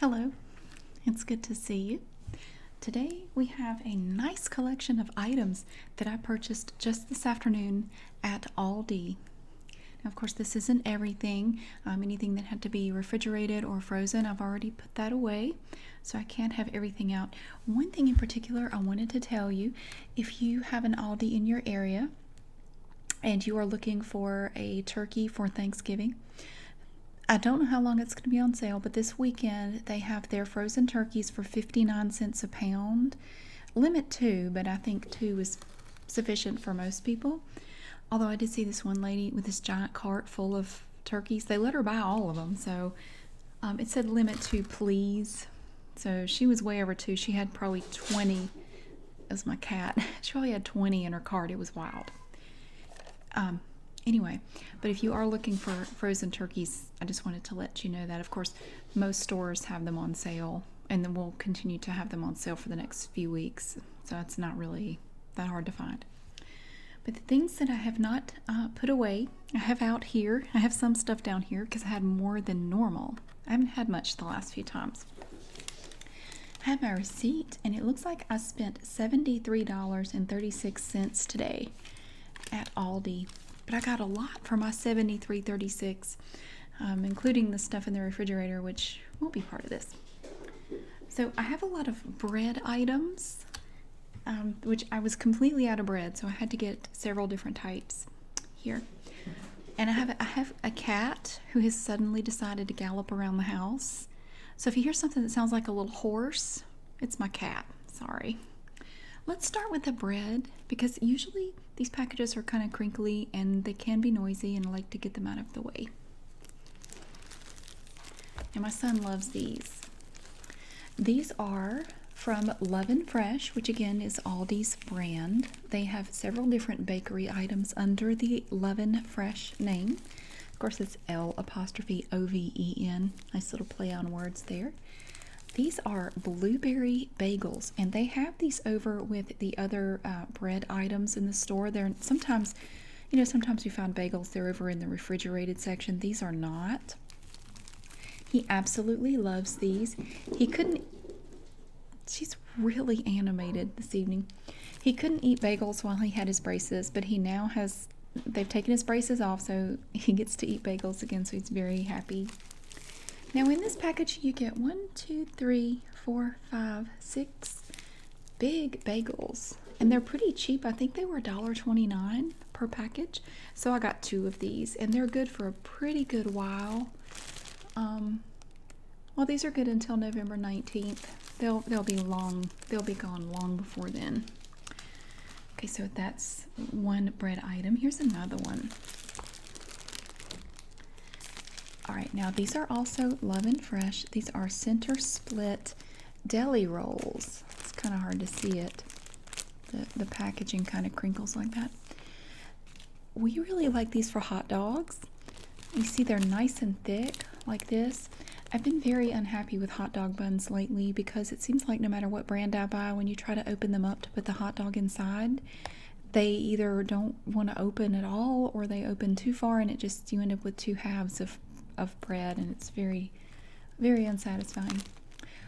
Hello, it's good to see you. Today we have a nice collection of items that I purchased just this afternoon at Aldi. Now, of course, this isn't everything. Um, anything that had to be refrigerated or frozen, I've already put that away, so I can't have everything out. One thing in particular I wanted to tell you if you have an Aldi in your area, and you are looking for a turkey for Thanksgiving, I don't know how long it's going to be on sale, but this weekend they have their frozen turkeys for 59 cents a pound. Limit two, but I think two is sufficient for most people. Although I did see this one lady with this giant cart full of turkeys. They let her buy all of them, so um, it said limit two, please. So she was way over two. She had probably 20 as my cat. She probably had 20 in her cart. It was wild. Um, anyway, but if you are looking for frozen turkeys, I just wanted to let you know that. Of course, most stores have them on sale, and then we'll continue to have them on sale for the next few weeks. So it's not really that hard to find. But the things that I have not uh, put away, I have out here. I have some stuff down here because I had more than normal. I haven't had much the last few times. I have my receipt, and it looks like I spent $73.36 today at Aldi. But I got a lot for my $73.36, um, including the stuff in the refrigerator, which won't be part of this. So I have a lot of bread items, um, which I was completely out of bread, so I had to get several different types here. And I have, I have a cat who has suddenly decided to gallop around the house so if you hear something that sounds like a little horse, it's my cat. Sorry. Let's start with the bread because usually these packages are kind of crinkly and they can be noisy, and I like to get them out of the way. And my son loves these. These are from Love and Fresh, which again is Aldi's brand. They have several different bakery items under the Love and Fresh name. Of course, it's L apostrophe O V E N. Nice little play on words there. These are blueberry bagels, and they have these over with the other uh, bread items in the store. They're sometimes, you know, sometimes we find bagels, they're over in the refrigerated section. These are not. He absolutely loves these. He couldn't, she's really animated this evening. He couldn't eat bagels while he had his braces, but he now has, they've taken his braces off, so he gets to eat bagels again, so he's very happy. Now, in this package, you get one, two, three, four, five, six big bagels, and they're pretty cheap. I think they were $1.29 per package, so I got two of these, and they're good for a pretty good while. Um, well, these are good until November 19th. They'll they'll be long. They'll be gone long before then. Okay, so that's one bread item. Here's another one. All right, now these are also Love and Fresh. These are center split deli rolls. It's kind of hard to see it. The, the packaging kind of crinkles like that. We really like these for hot dogs. You see, they're nice and thick like this. I've been very unhappy with hot dog buns lately because it seems like no matter what brand I buy, when you try to open them up to put the hot dog inside, they either don't want to open at all or they open too far and it just you end up with two halves of, of bread and it's very, very unsatisfying.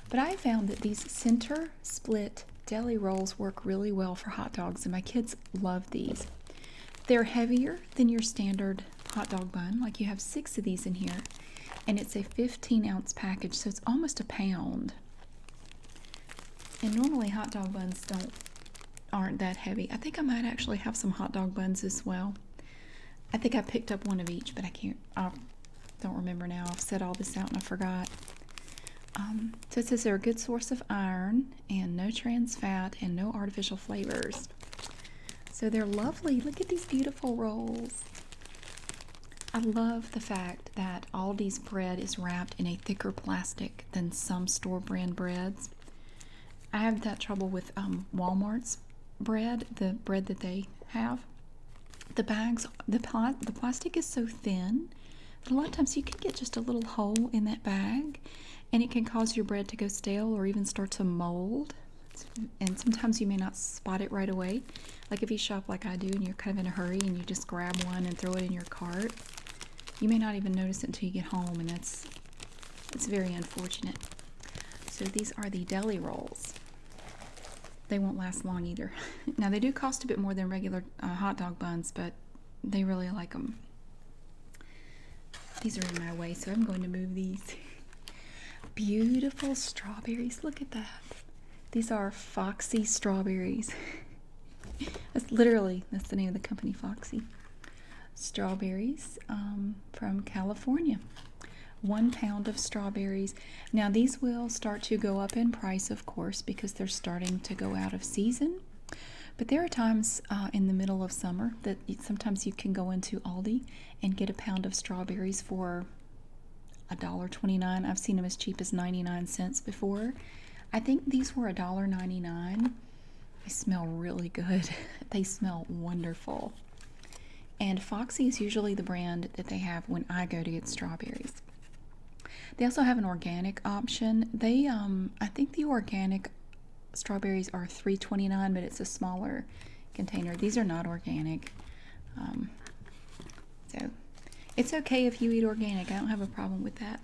But I found that these center split deli rolls work really well for hot dogs and my kids love these. They're heavier than your standard hot dog bun. Like you have six of these in here, and it's a 15 ounce package, so it's almost a pound. And normally hot dog buns don't aren't that heavy. I think I might actually have some hot dog buns as well. I think I picked up one of each, but I can't. I don't remember now. I've set all this out and I forgot. Um, so it says they're a good source of iron and no trans fat and no artificial flavors. So they're lovely. Look at these beautiful rolls. I love the fact that Aldi's bread is wrapped in a thicker plastic than some store brand breads. I have that trouble with um, Walmart's bread, the bread that they have. The bags, the, pl the plastic is so thin that a lot of times you can get just a little hole in that bag and it can cause your bread to go stale or even start to mold. And sometimes you may not spot it right away. Like if you shop like I do and you're kind of in a hurry and you just grab one and throw it in your cart, you may not even notice it until you get home, and that's that's very unfortunate. So these are the deli rolls. They won't last long either. now they do cost a bit more than regular uh, hot dog buns, but they really like them. These are in my way, so I'm going to move these. Beautiful strawberries. Look at that. These are Foxy strawberries. that's literally that's the name of the company, Foxy. Strawberries um, from California. One pound of strawberries. Now these will start to go up in price, of course, because they're starting to go out of season. But there are times uh, in the middle of summer that sometimes you can go into Aldi and get a pound of strawberries for $1.29. I've seen them as cheap as 99 cents before. I think these were $1.99. They smell really good. they smell wonderful. And Foxy is usually the brand that they have when I go to get strawberries. They also have an organic option. They, um, I think the organic strawberries are 329 but it's a smaller container these are not organic um, so it's okay if you eat organic i don't have a problem with that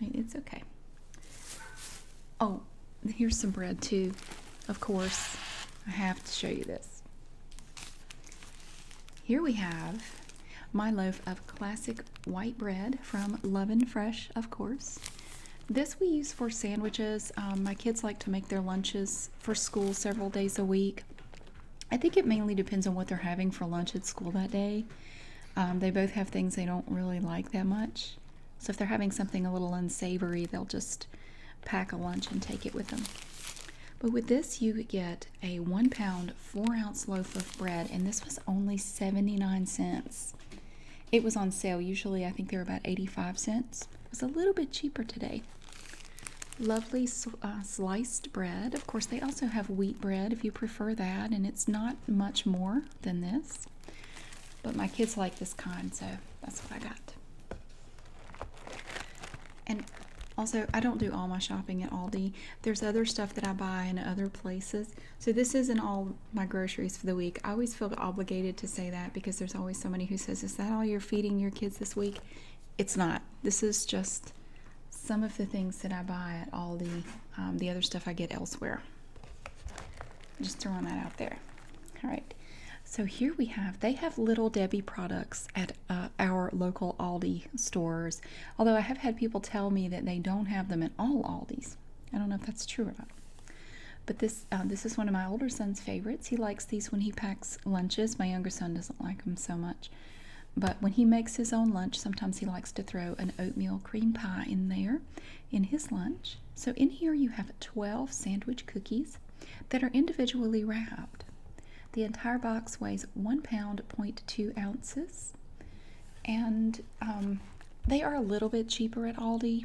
it's okay oh here's some bread too of course i have to show you this here we have my loaf of classic white bread from Love and Fresh, of course. This we use for sandwiches. Um, my kids like to make their lunches for school several days a week. I think it mainly depends on what they're having for lunch at school that day. Um, they both have things they don't really like that much. So if they're having something a little unsavory, they'll just pack a lunch and take it with them. But with this, you get a one pound, four ounce loaf of bread, and this was only 79 cents. It was on sale. Usually, I think they're about 85 cents. It was a little bit cheaper today. Lovely uh, sliced bread. Of course, they also have wheat bread if you prefer that, and it's not much more than this. But my kids like this kind, so that's what I got. And also, I don't do all my shopping at Aldi. There's other stuff that I buy in other places, so this isn't all my groceries for the week. I always feel obligated to say that because there's always somebody who says, "Is that all you're feeding your kids this week?" It's not. This is just some of the things that I buy at Aldi. Um, the other stuff I get elsewhere. Just throwing that out there. All right. So here we have, they have Little Debbie products at uh, our local Aldi stores, although I have had people tell me that they don't have them at all Aldis. I don't know if that's true or not. But this uh, this is one of my older son's favorites. He likes these when he packs lunches. My younger son doesn't like them so much. But when he makes his own lunch, sometimes he likes to throw an oatmeal cream pie in there in his lunch. So in here you have 12 sandwich cookies that are individually wrapped. The entire box weighs one pound, point two ounces and um, they are a little bit cheaper at Aldi.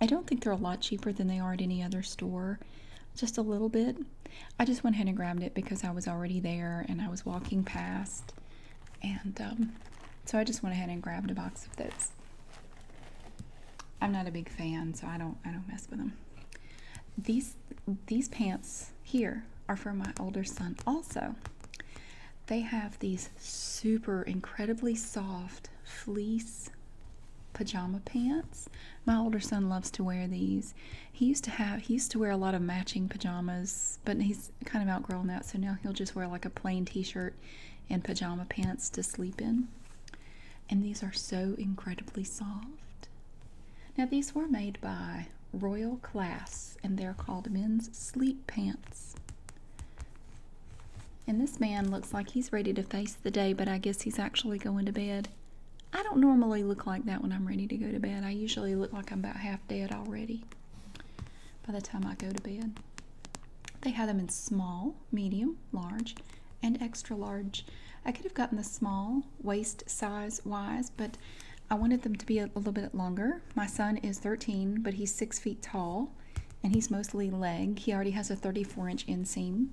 I don't think they're a lot cheaper than they are at any other store, just a little bit. I just went ahead and grabbed it because I was already there and I was walking past, and um, so I just went ahead and grabbed a box of this. I'm not a big fan, so I don't I don't mess with them. These these pants here are for my older son also. They have these super incredibly soft fleece pajama pants. My older son loves to wear these. He used to have he used to wear a lot of matching pajamas, but he's kind of outgrown that, so now he'll just wear like a plain t-shirt and pajama pants to sleep in. And these are so incredibly soft. Now these were made by Royal Class and they're called men's sleep pants. And this man looks like he's ready to face the day, but I guess he's actually going to bed. I don't normally look like that when I'm ready to go to bed. I usually look like I'm about half dead already by the time I go to bed. They had them in small, medium, large, and extra large. I could have gotten the small waist size wise, but I wanted them to be a, a little bit longer. My son is 13, but he's six feet tall and he's mostly leg. He already has a 34 inch inseam.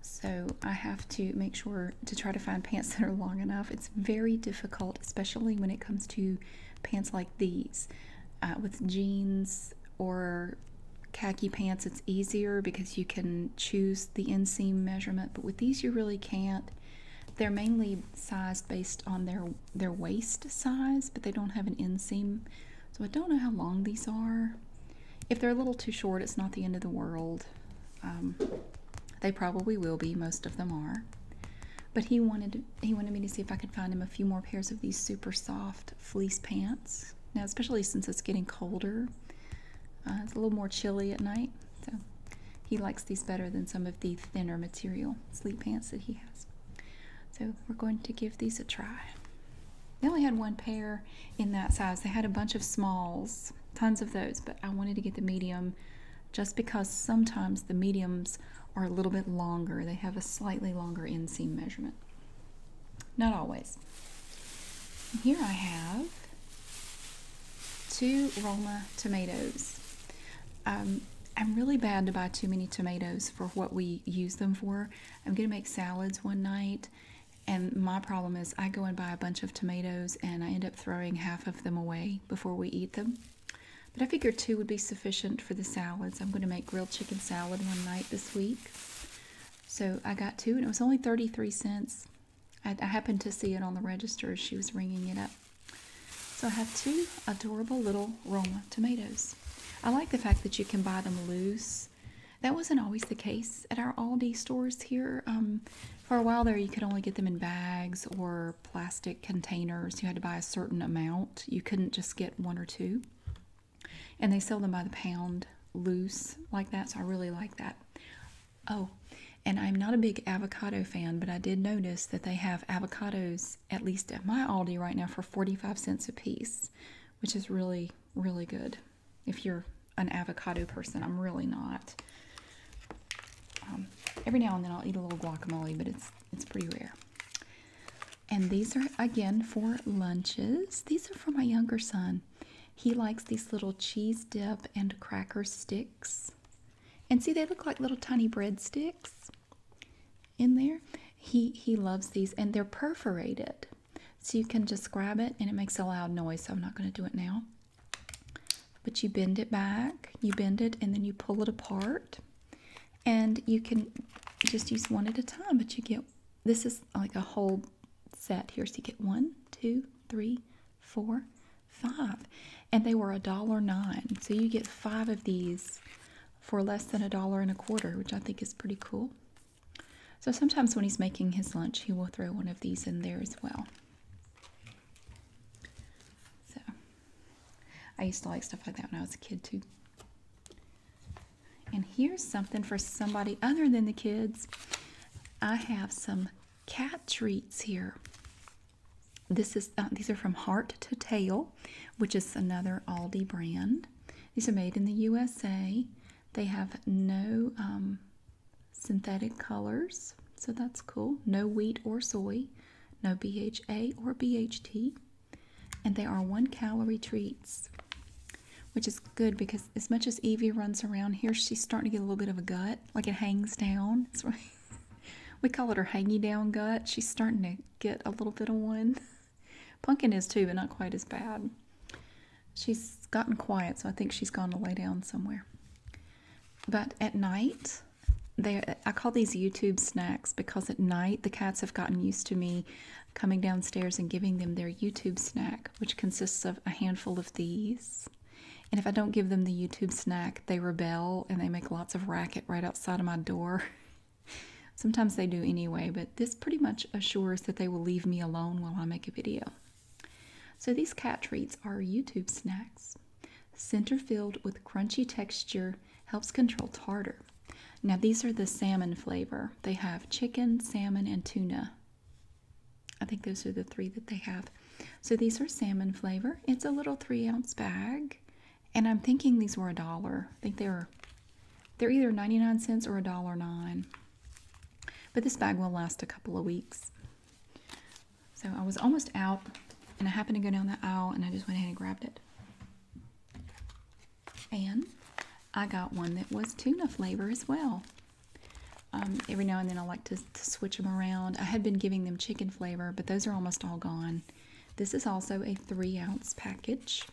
So I have to make sure to try to find pants that are long enough. It's very difficult, especially when it comes to pants like these. Uh, with jeans or khaki pants, it's easier because you can choose the inseam measurement, but with these, you really can't. They're mainly sized based on their their waist size, but they don't have an inseam. So I don't know how long these are. If they're a little too short, it's not the end of the world. Um, they probably will be. Most of them are. But he wanted he wanted me to see if I could find him a few more pairs of these super soft fleece pants. Now, especially since it's getting colder, uh, it's a little more chilly at night. So he likes these better than some of the thinner material sleep pants that he has. So we're going to give these a try. They only had one pair in that size. They had a bunch of smalls, tons of those, but I wanted to get the medium just because sometimes the mediums are a little bit longer. They have a slightly longer inseam measurement. Not always. Here I have two Roma tomatoes. Um, I'm really bad to buy too many tomatoes, for what we use them for. I'm going to make salads one night, and my problem is I go and buy a bunch of tomatoes and I end up throwing half of them away before we eat them. But I figured two would be sufficient for the salads. I'm going to make grilled chicken salad one night this week. So I got two, and it was only 33 cents. I happened to see it on the register as she was ringing it up. So I have two adorable little Roma tomatoes. I like the fact that you can buy them loose. That wasn't always the case at our Aldi stores here. Um, for a while there, you could only get them in bags or plastic containers. You had to buy a certain amount. You couldn't just get one or two. And they sell them by the pound loose like that, so I really like that. Oh, and I'm not a big avocado fan, but I did notice that they have avocados at least at my Aldi right now, for 45 cents a piece, which is really, really good. If you're an avocado person, I'm really not. Um, every now and then I'll eat a little guacamole, but it's it's pretty rare. And these are again for lunches. These are for my younger son. He likes these little cheese dip and cracker sticks. And see, they look like little tiny breadsticks in there. He he loves these and they're perforated. So you can just grab it and it makes a loud noise. So I'm not going to do it now. But you bend it back, you bend it and then you pull it apart. And you can just use one at a time, but you get this is like a whole set here. So you get one, two, three, four, five. And they were a dollar nine. So you get five of these for less than a dollar and a quarter, which I think is pretty cool. So sometimes when he's making his lunch, he will throw one of these in there as well. So I used to like stuff like that when I was a kid too. And here's something for somebody other than the kids. I have some cat treats here. This is uh, these are from Heart to Tail which is another Aldi brand. These are made in the USA. They have no um, synthetic colors, so that's cool. No wheat or soy, no BHA or BHT. And they are one calorie treats, which is good because as much as Evie runs around here, she's starting to get a little bit of a gut, like it hangs down. we call it her hangy down gut. She's starting to get a little bit of one. Pumpkin is too, but not quite as bad. She's gotten quiet, so I think she's gone to lay down somewhere. But at night, they I call these YouTube snacks because at night the cats have gotten used to me coming downstairs and giving them their YouTube snack, which consists of a handful of these. And if I don't give them the YouTube snack, they rebel and they make lots of racket right outside of my door. Sometimes they do anyway, but this pretty much assures that they will leave me alone while I make a video. So these cat treats are YouTube snacks. Center filled with crunchy texture helps control tartar. Now these are the salmon flavor. They have chicken, salmon, and tuna. I think those are the three that they have. So these are salmon flavor. It's a little three ounce bag and I'm thinking these were a dollar. I think they are they're either 99 cents or a dollar nine. But this bag will last a couple of weeks. So I was almost out and I happened to go down the aisle and I just went ahead and grabbed it. And I got one that was tuna flavor as well. Um, every now and then I like to switch them around. I had been giving them chicken flavor, but those are almost all gone. This is also a three ounce package.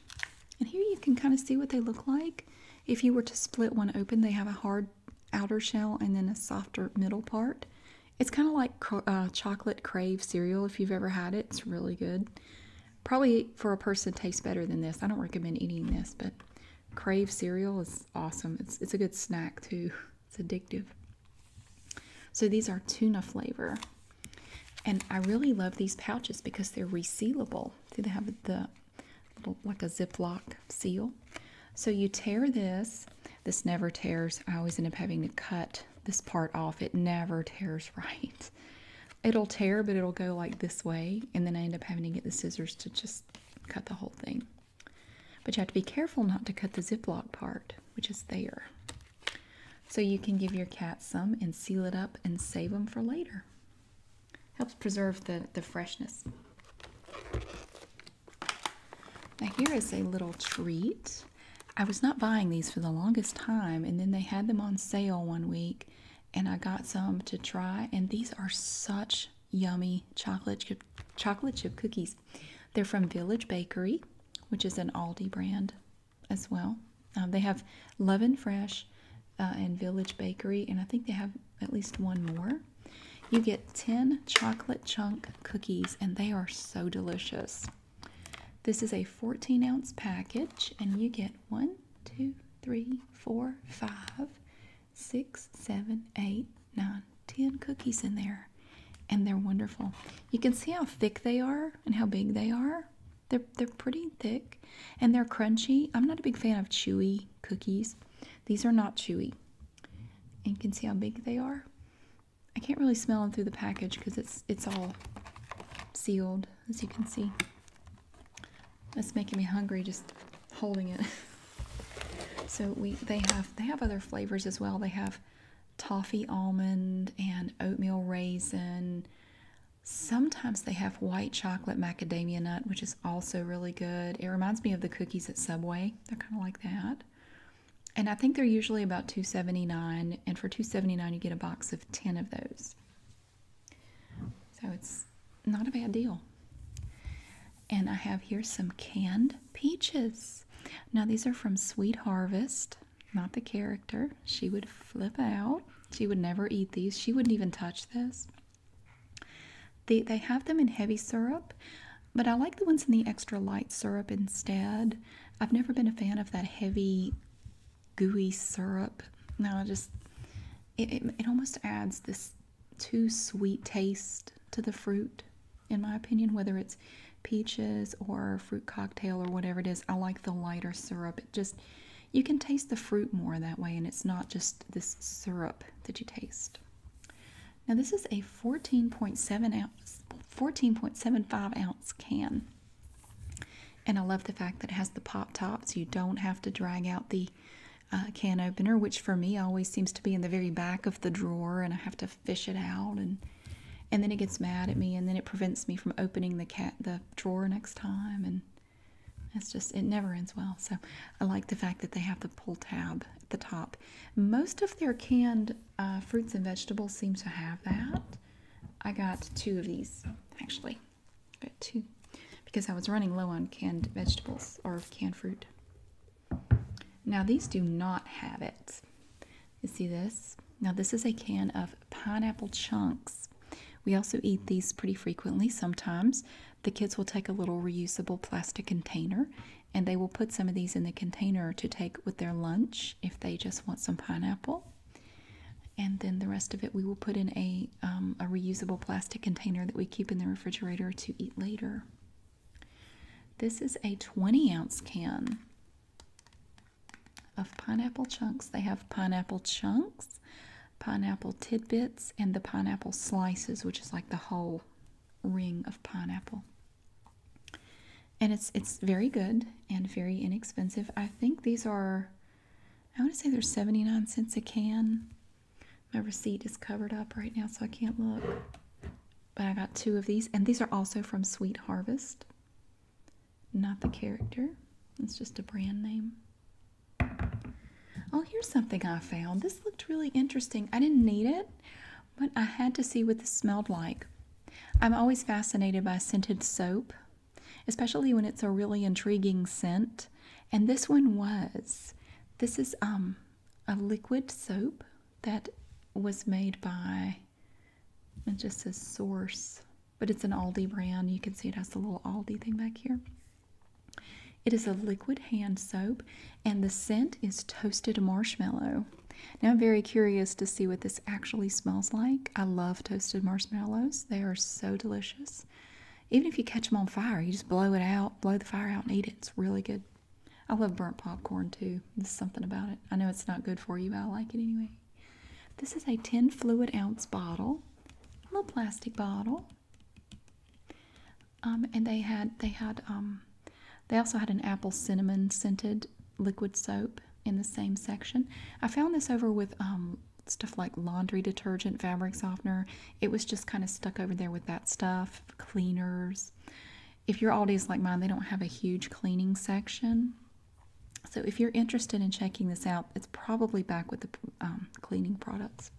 And here you can kind of see what they look like. If you were to split one open, they have a hard outer shell and then a softer middle part. It's kind of like uh, chocolate crave cereal if you've ever had it. It's really good. Probably for a person tastes better than this. I don't recommend eating this, but crave cereal is awesome. It's, it's a good snack too. It's addictive. So these are tuna flavor. And I really love these pouches because they're resealable. See, they have the little, like a Ziploc seal. So you tear this. This never tears. I always end up having to cut this part off. It never tears right. It'll tear, but it'll go like this way. And then I end up having to get the scissors to just cut the whole thing. But you have to be careful not to cut the Ziploc part, which is there. So you can give your cat some and seal it up and save them for later. Helps preserve the, the freshness. Now here is a little treat. I was not buying these for the longest time, and then they had them on sale one week, and I got some to try. And these are such yummy chocolate chocolate chip cookies. They're from Village Bakery, which is an Aldi brand as well. Uh, they have Love and Fresh uh, and Village Bakery, and I think they have at least one more. You get 10 chocolate chunk cookies, and they are so delicious. This is a 14 ounce package, and you get one, two, three, four, five, six, seven, eight, nine, ten cookies in there. And they're wonderful. You can see how thick they are and how big they are. They're they're pretty thick and they're crunchy. I'm not a big fan of chewy cookies. These are not chewy. you can see how big they are. I can't really smell them through the package because it's it's all sealed, as you can see. That's making me hungry just holding it. so we they have they have other flavors as well. They have toffee almond and oatmeal raisin. Sometimes they have white chocolate macadamia nut, which is also really good. It reminds me of the cookies at Subway. They're kind of like that. And I think they're usually about 279 and for 279 you get a box of 10 of those. So it's not a bad deal. And I have here some canned peaches. Now these are from Sweet Harvest not the character. She would flip out. She would never eat these. She wouldn't even touch this. They, they have them in heavy syrup, but I like the ones in the extra light syrup instead. I've never been a fan of that heavy, gooey syrup. Now, just it, it almost adds this too sweet taste to the fruit, in my opinion, whether it's peaches or fruit cocktail or whatever it is. I like the lighter syrup. It just you can taste the fruit more that way, and it's not just this syrup that you taste. Now this is a 14.7 ounce, 14.75 ounce can, and I love the fact that it has the pop tops. You don't have to drag out the uh, can opener, which for me always seems to be in the very back of the drawer, and I have to fish it out and and then it gets mad at me and then it prevents me from opening the cat the drawer next time and it's just it never ends well so i like the fact that they have the pull tab at the top most of their canned uh, fruits and vegetables seem to have that i got two of these actually got two because i was running low on canned vegetables or canned fruit now these do not have it you see this? Now, this is a can of pineapple chunks. We also eat these pretty frequently. Sometimes the kids will take a little reusable plastic container and they will put some of these in the container to take with their lunch if they just want some pineapple. And then the rest of it we will put in a, um, a reusable plastic container that we keep in the refrigerator to eat later. This is a 20 ounce can of pineapple chunks. They have pineapple chunks, pineapple tidbits, and the pineapple slices, which is like the whole ring of pineapple. And it's it's very good and very inexpensive. I think these are I want to say they're 79 cents a can. My receipt is covered up right now, so I can't look. But I got two of these, and these are also from Sweet Harvest not the character. It's just a brand name. Oh, here's something I found. This looked really interesting. I didn't need it, but I had to see what this smelled like. I'm always fascinated by scented soap, especially when it's a really intriguing scent. And this one was. This is um a liquid soap that was made by it just says source but it's an Aldi brand. You can see it has the little Aldi thing back here. It is a liquid hand soap, and the scent is toasted marshmallow. Now, I'm very curious to see what this actually smells like. I love toasted marshmallows, they are so delicious. Even if you catch them on fire, you just blow it out, blow the fire out, and eat it. It's really good. I love burnt popcorn too. There's something about it. I know it's not good for you, but I like it anyway. This is a 10 fluid ounce bottle, a little plastic bottle. Um, and they had they had um, they also had an apple cinnamon scented liquid soap in the same section. I found this over with um, stuff like laundry detergent, fabric softener. It was just kind of stuck over there with that stuff, cleaners. If your Aldi is like mine, they don't have a huge cleaning section. So if you're interested in checking this out, it's probably back with the um, cleaning products.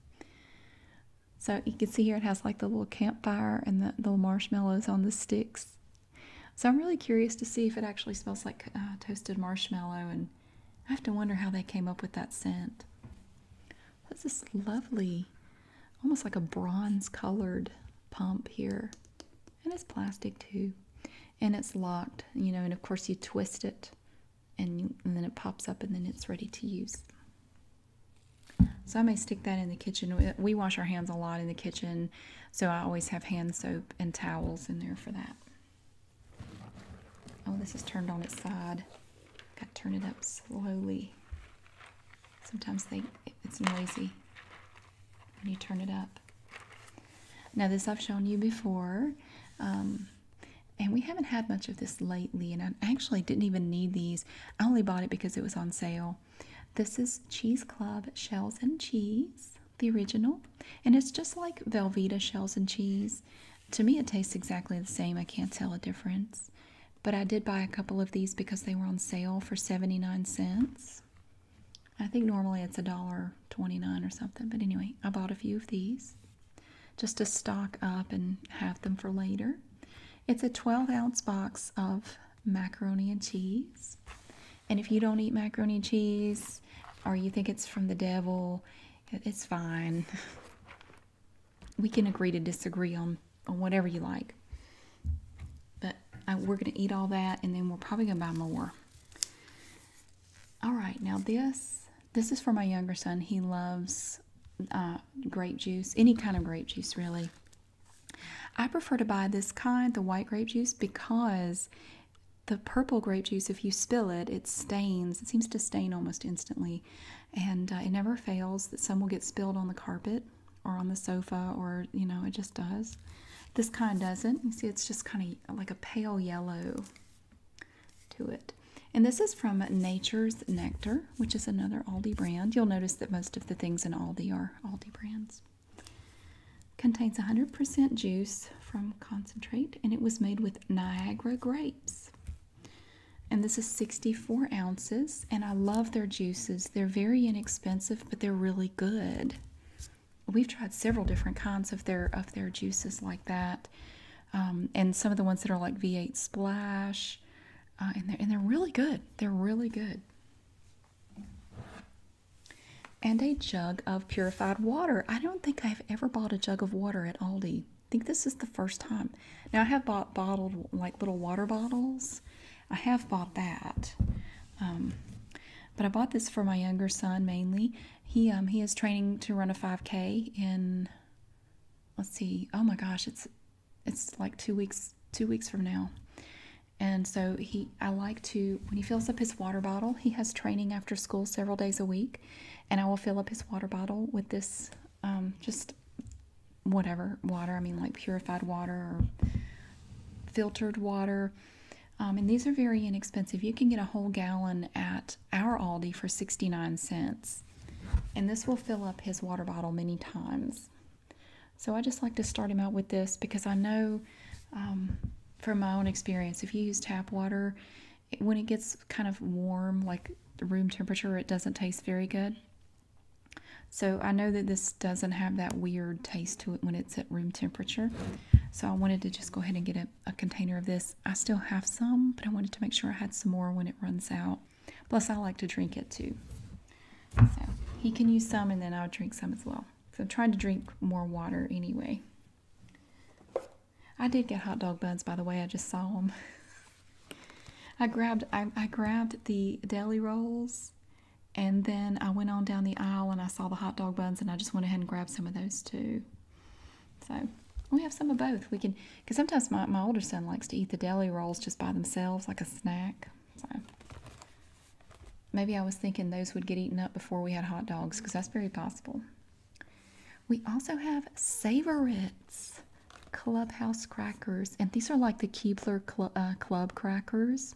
So you can see here it has like the little campfire and the, marshmallows on the sticks. So I'm really curious to see if it actually smells like uh, toasted marshmallow and I have to wonder how they came up with that scent. That's this lovely, almost like a bronze colored pump here and it's plastic too and it's locked you know and of course you twist it and, then it pops up and then it's ready to use so I may stick that in the kitchen. We wash our hands a lot in the kitchen, so I always have hand soap and towels in there for that. Oh, this is turned on its side. Got to turn it up slowly. Sometimes they it's noisy when you turn it up. Now this I've shown you before, um, and we haven't had much of this lately, and I actually didn't even need these. I only bought it because it was on sale. This is Cheese Club Shells and Cheese, the original, and it's just like Velveeta Shells and Cheese. To me, it tastes exactly the same. I can't tell a difference. But I did buy a couple of these because they were on sale for 79 cents. I think normally it's a dollar 29 or something, but anyway, I bought a few of these just to stock up and have them for later. It's a 12 ounce box of macaroni and cheese. And if you don't eat macaroni and cheese or you think it's from the devil, it's fine. we can agree to disagree on, on whatever you like. But uh, we're going to eat all that and then we're probably going to buy more. All right, now this this is for my younger son. He loves uh, grape juice, any kind of grape juice, really. I prefer to buy this kind, the white grape juice, because the purple grape juice, if you spill it, it stains. It seems to stain almost instantly, and uh, it never fails that some will get spilled on the carpet or on the sofa, or you know, it just does. This kind doesn't. You see, it's just kind of like a pale yellow to it. And this is from Nature's Nectar, which is another Aldi brand. You'll notice that most of the things in Aldi are Aldi brands. Contains 100% juice from concentrate, and it was made with Niagara grapes. And this is 64 ounces, and I love their juices. They're very inexpensive, but they're really good we've tried several different kinds of their of their juices like that, um, and some of the ones that are like V8 Splash, uh, and they're and they're really good. They're really good. And a jug of purified water. I don't think I've ever bought a jug of water at Aldi. I think this is the first time. Now I have bought bottled like little water bottles. I have bought that. Um, but I bought this for my younger son mainly. He um he is training to run a 5K in let's see. Oh my gosh, it's it's like 2 weeks 2 weeks from now. And so he I like to when he fills up his water bottle, he has training after school several days a week, and I will fill up his water bottle with this um just whatever water, I mean like purified water or filtered water um, and these are very inexpensive. You can get a whole gallon at our Aldi for 69 cents. And this will fill up his water bottle many times. So I just like to start him out with this because I know um, from my own experience, if you use tap water, when it gets kind of warm, like room temperature, it doesn't taste very good. So I know that this doesn't have that weird taste to it when it's at room temperature. So I wanted to just go ahead and get a, container of this. I still have some, but I wanted to make sure I had some more when it runs out. Plus, I like to drink it too. So he can use some, and then I'll drink some as well. So I'm trying to drink more water anyway. I did get hot dog buns, by the way. I just saw them. I grabbed I grabbed the deli rolls, and then I went on down the aisle and I saw the hot dog buns, and I just went ahead and grabbed some of those too. So we have some of both. We can, because sometimes my, my older son likes to eat the deli rolls just by themselves, like a snack. So maybe I was thinking those would get eaten up before we had hot dogs, because that's very possible. We also have Savorites Clubhouse crackers, and these are like the Keebler uh, Club crackers.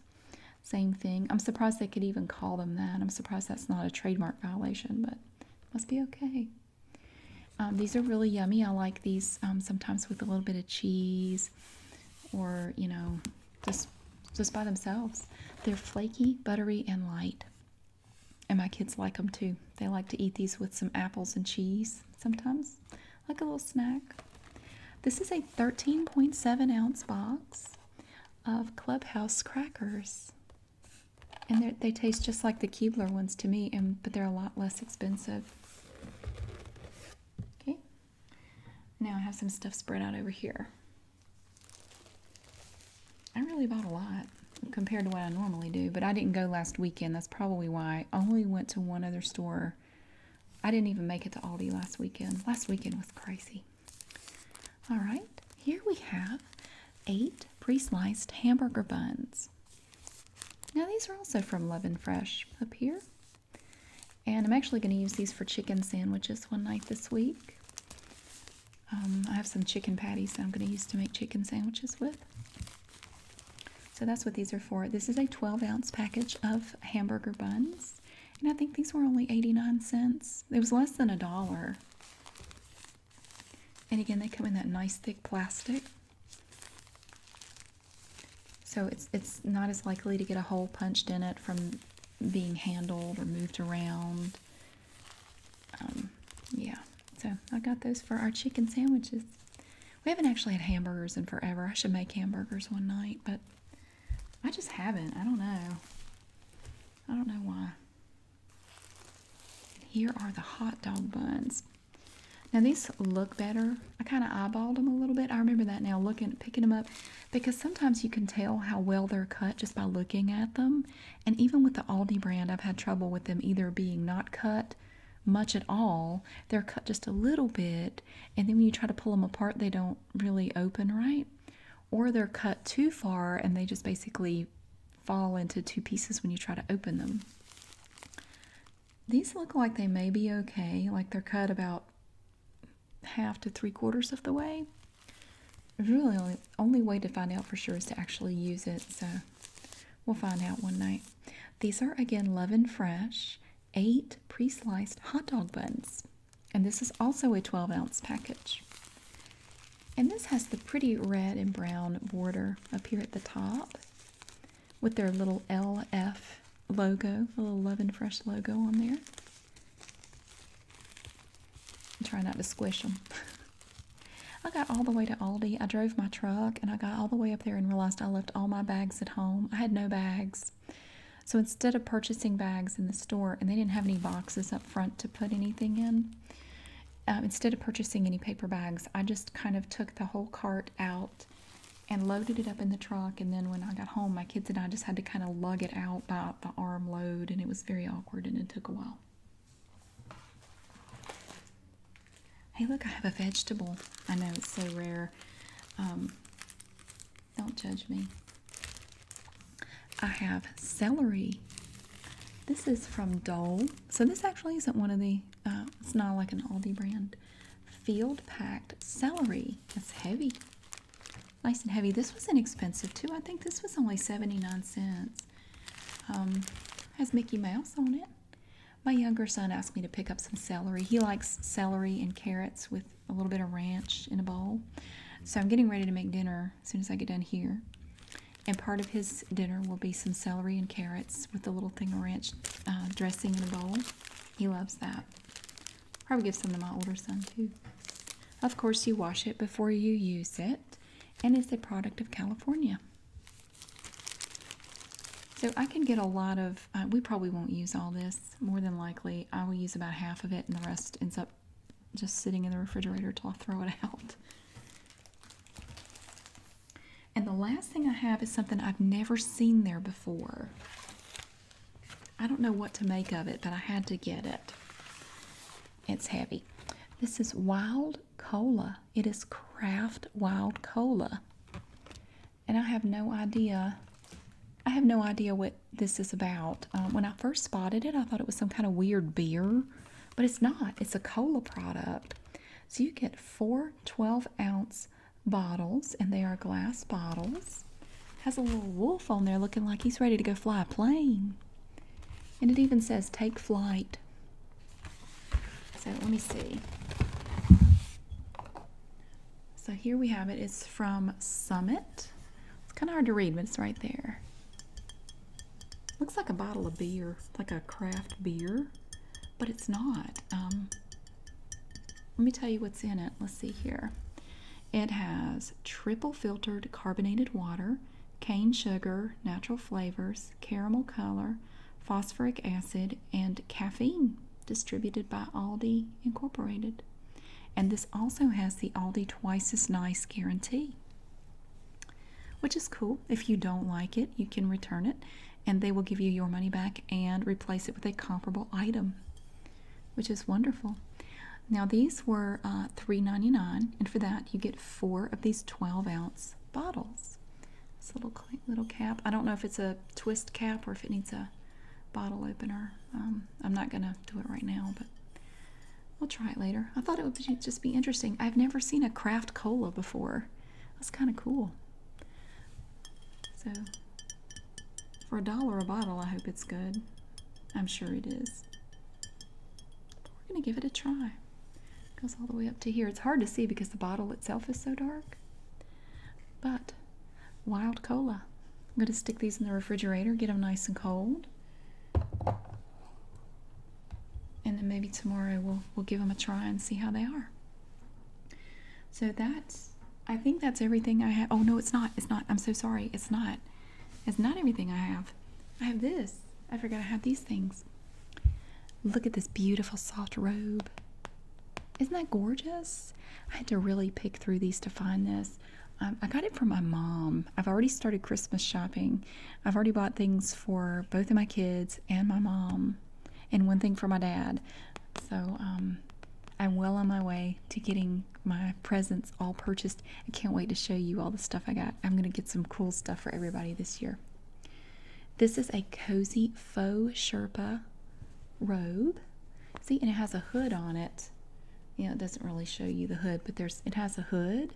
Same thing. I'm surprised they could even call them that. I'm surprised that's not a trademark violation, but must be okay. Um, these are really yummy. I like these um, sometimes with a little bit of cheese or, you know, just just by themselves. They're flaky, buttery, and light. And my kids like them too. They like to eat these with some apples and cheese sometimes, like a little snack. This is a 13.7 ounce box of Clubhouse crackers. And they taste just like the Keebler ones to me, and but they're a lot less expensive. Okay. Now I have some stuff spread out over here. I really bought a lot compared to what I normally do, but I didn't go last weekend. That's probably why I only went to one other store. I didn't even make it to Aldi last weekend. Last weekend was crazy. All right, here we have eight pre-sliced hamburger buns. Now these are also from Love and Fresh up here. And I'm actually going to use these for chicken sandwiches one night this week. Um, I have some chicken patties that I'm going to use to make chicken sandwiches with. So that's what these are for. This is a 12 ounce package of hamburger buns. And I think these were only 89 cents. It was less than a dollar. And again, they come in that nice thick plastic. So it's, it's not as likely to get a hole punched in it from being handled or moved around. Um, yeah, so I got those for our chicken sandwiches. We haven't actually had hamburgers in forever. I should make hamburgers one night, but I just haven't. I don't know. I don't know why. here are the hot dog buns. Now these look better. I kind of eyeballed them a little bit. I remember that now, looking, picking them up, because sometimes you can tell how well they're cut just by looking at them. And even with the Aldi brand, I've had trouble with them either being not cut much at all. They're cut just a little bit, and then when you try to pull them apart, they don't really open right or they're cut too far and they just basically fall into two pieces when you try to open them. These look like they may be okay, like they're cut about half to three quarters of the way. Really, only, way to find out for sure is to actually use it, so we'll find out one night. These are again Love and Fresh, eight pre sliced hot dog buns. And this is also a 12 ounce package. And this has the pretty red and brown border up here at the top with their little LF logo, the little Love and Fresh logo on there. I try not to squish them. I got all the way to Aldi. I drove my truck and I got all the way up there and realized I left all my bags at home. I had no bags. So instead of purchasing bags in the store, and they didn't have any boxes up front to put anything in, um, instead of purchasing any paper bags, I just kind of took the whole cart out and loaded it up in the truck. And then when I got home, my kids and I just had to kind of lug it out by the arm load, and it was very awkward and it took a while. Hey, look, I have a vegetable. I know it's so rare. Um, don't judge me. I have celery. This is from Dole. So this actually isn't one of the, uh, it's not like an Aldi brand. Field packed celery. That's heavy. Nice and heavy. This was inexpensive too. I think this was only 79 cents. Um, has Mickey Mouse on it. My younger son asked me to pick up some celery. He likes celery and carrots with a little bit of ranch in a bowl. So I'm getting ready to make dinner as soon as I get done here. And part of his dinner will be some celery and carrots with a little thing of ranch uh, dressing in a bowl. He loves that. Probably give some to my older son too. Of course, you wash it before you use it, and it's a product of California. So I can get a lot of, uh, we probably won't use all this, more than likely. I will use about half of it and the rest ends up just sitting in the refrigerator until I throw it out. And the last thing I have is something I've never seen there before. I don't know what to make of it, but I had to get it. It's heavy. This is wild cola. It is craft wild cola. And I have no idea. I have no idea what this is about. Um, when I first spotted it, I thought it was some kind of weird beer, but it's not. It's a cola product. So you get four 12 ounce bottles, and they are glass bottles. Has a little wolf on there looking like he's ready to go fly a plane. And it even says take flight. So let me see. So here we have it. It's from Summit. It's kind of hard to read, but it's right there. Looks like a bottle of beer, like a craft beer, but it's not. Um, let me tell you what's in it. Let's see here. It has triple filtered carbonated water, cane sugar, natural flavors, caramel color, phosphoric acid, and caffeine distributed by Aldi Incorporated. And this also has the Aldi Twice as Nice guarantee, which is cool. If you don't like it, you can return it and they will give you your money back and replace it with a comparable item, which is wonderful. Now, these were uh, three ninety nine, and for that, you get four of these 12 ounce bottles. This little, little cap. I don't know if it's a twist cap or if it needs a bottle opener. Um, I'm not going to do it right now, but We'll try it later. I thought it would just be interesting. I've never seen a craft cola before. That's kind of cool. So, for a dollar a bottle, I hope it's good. I'm sure it is. we're going to give it a try. It goes all the way up to here. It's hard to see because the bottle itself is so dark. But, wild cola. I'm going to stick these in the refrigerator, get them nice and cold and then maybe tomorrow we'll we'll give them a try and see how they are. So that's I think that's everything I have. Oh no, it's not. It's not. I'm so sorry. It's not. It's not everything I have. I have this. I forgot I have these things. Look at this beautiful soft robe. Isn't that gorgeous? I had to really pick through these to find this. Um, I got it from my mom. I've already started Christmas shopping. I've already bought things for both of my kids and my mom, and one thing for my dad. So um, I'm well on my way to getting my presents all purchased. I can't wait to show you all the stuff I got. I'm going to get some cool stuff for everybody this year. This is a cozy faux Sherpa robe. See, and it has a hood on it you know it doesn't really show you the hood but there's it has a hood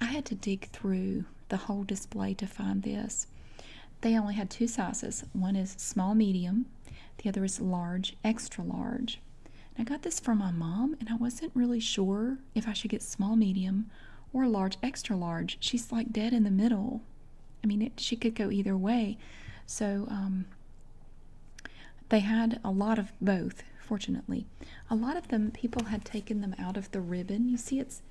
i had to dig through the whole display to find this they only had two sizes one is small medium the other is large extra large i got this for my mom and i wasn't really sure if i should get small medium or large extra large she's like dead in the middle i mean she could go either way so um they had a lot of both, fortunately. A lot of them, people had taken them out of the ribbon. You see, it's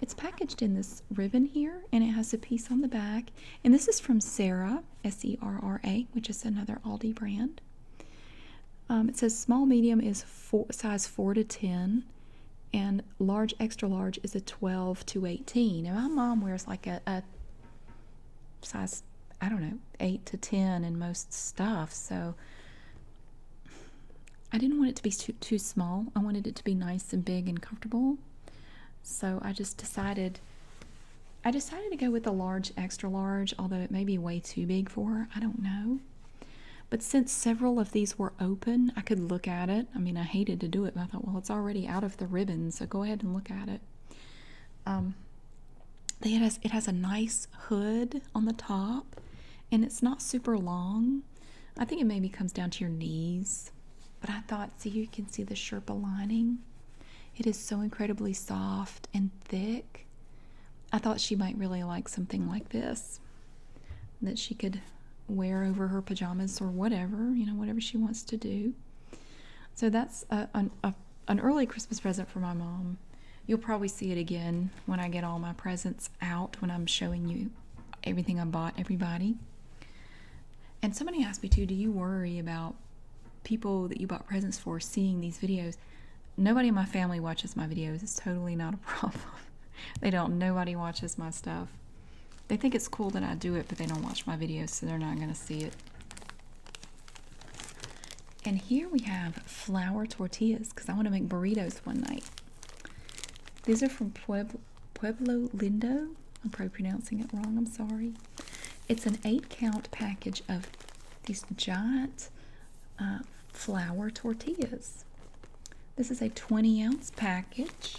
it's packaged in this ribbon here, and it has a piece on the back. And this is from Sarah, S-E-R-R-A, which is another Aldi brand. Um, it says small medium is size 4 to 10, and large extra large is a 12 to 18. And my mom wears like a size, I don't know, 8 to 10 in most stuff. So I didn't want it to be too, small. I wanted it to be nice and big and comfortable. So I just decided. I decided to go with a large extra large, although it may be way too big for her. I don't know. But since several of these were open, I could look at it. I mean, I hated to do it, but I thought, well, it's already out of the ribbon, so go ahead and look at it. Um, it, has, a nice hood on the top and it's not super long. I think it maybe comes down to your knees. But I thought, see, you can see the Sherpa lining. It is so incredibly soft and thick. I thought she might really like something like this that she could wear over her pajamas or whatever, you know, whatever she wants to do. So that's a an early Christmas present for my mom. You'll probably see it again when I get all my presents out when I'm showing you everything I bought everybody. And somebody asked me too, do you worry about people that you bought presents for seeing these videos? Nobody in my family watches my videos. It's totally not a problem. they don't. Nobody watches my stuff. They think it's cool that I do it, but they don't watch my videos, so they're not going to see it. And here we have flour tortillas because I want to make burritos one night. These are from Pueblo, Lindo. I'm probably pronouncing it wrong, I'm sorry. It's an eight count package of these giant uh, flour tortillas. This is a 20 ounce package.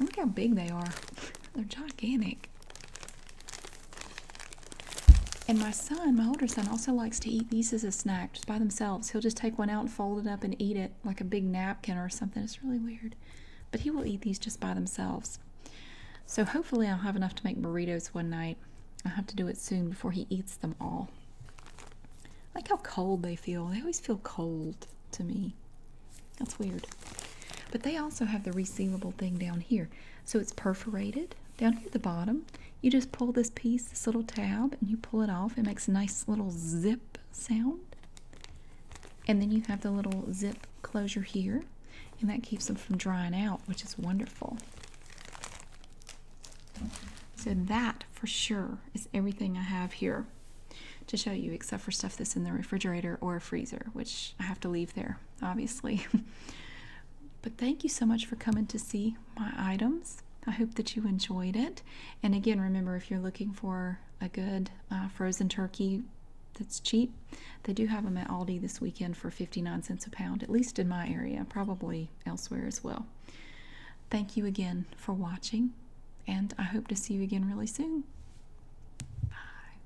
Look how big they are. They're gigantic. And my son, my older son, also likes to eat these as a snack just by themselves. He'll just take one out and fold it up and eat it like a big napkin or something. It's really weird. But he will eat these just by themselves. So hopefully, I'll have enough to make burritos one night. I have to do it soon before he eats them all. Like how cold they feel. They always feel cold to me. That's weird. But they also have the receivable thing down here. So it's perforated down here at the bottom. You just pull this piece, this little tab, and you pull it off. It makes a nice little zip sound. And then you have the little zip closure here, and that keeps them from drying out, which is wonderful. So that for sure is everything I have here to show you, except for stuff that's in the refrigerator or a freezer, which I have to leave there, obviously. But thank you so much for coming to see my items. I hope that you enjoyed it. And again, remember if you're looking for a good uh, frozen turkey that's cheap, they do have them at Aldi this weekend for 59 cents a pound, at least in my area, probably elsewhere as well. Thank you again for watching, and I hope to see you again really soon. Bye.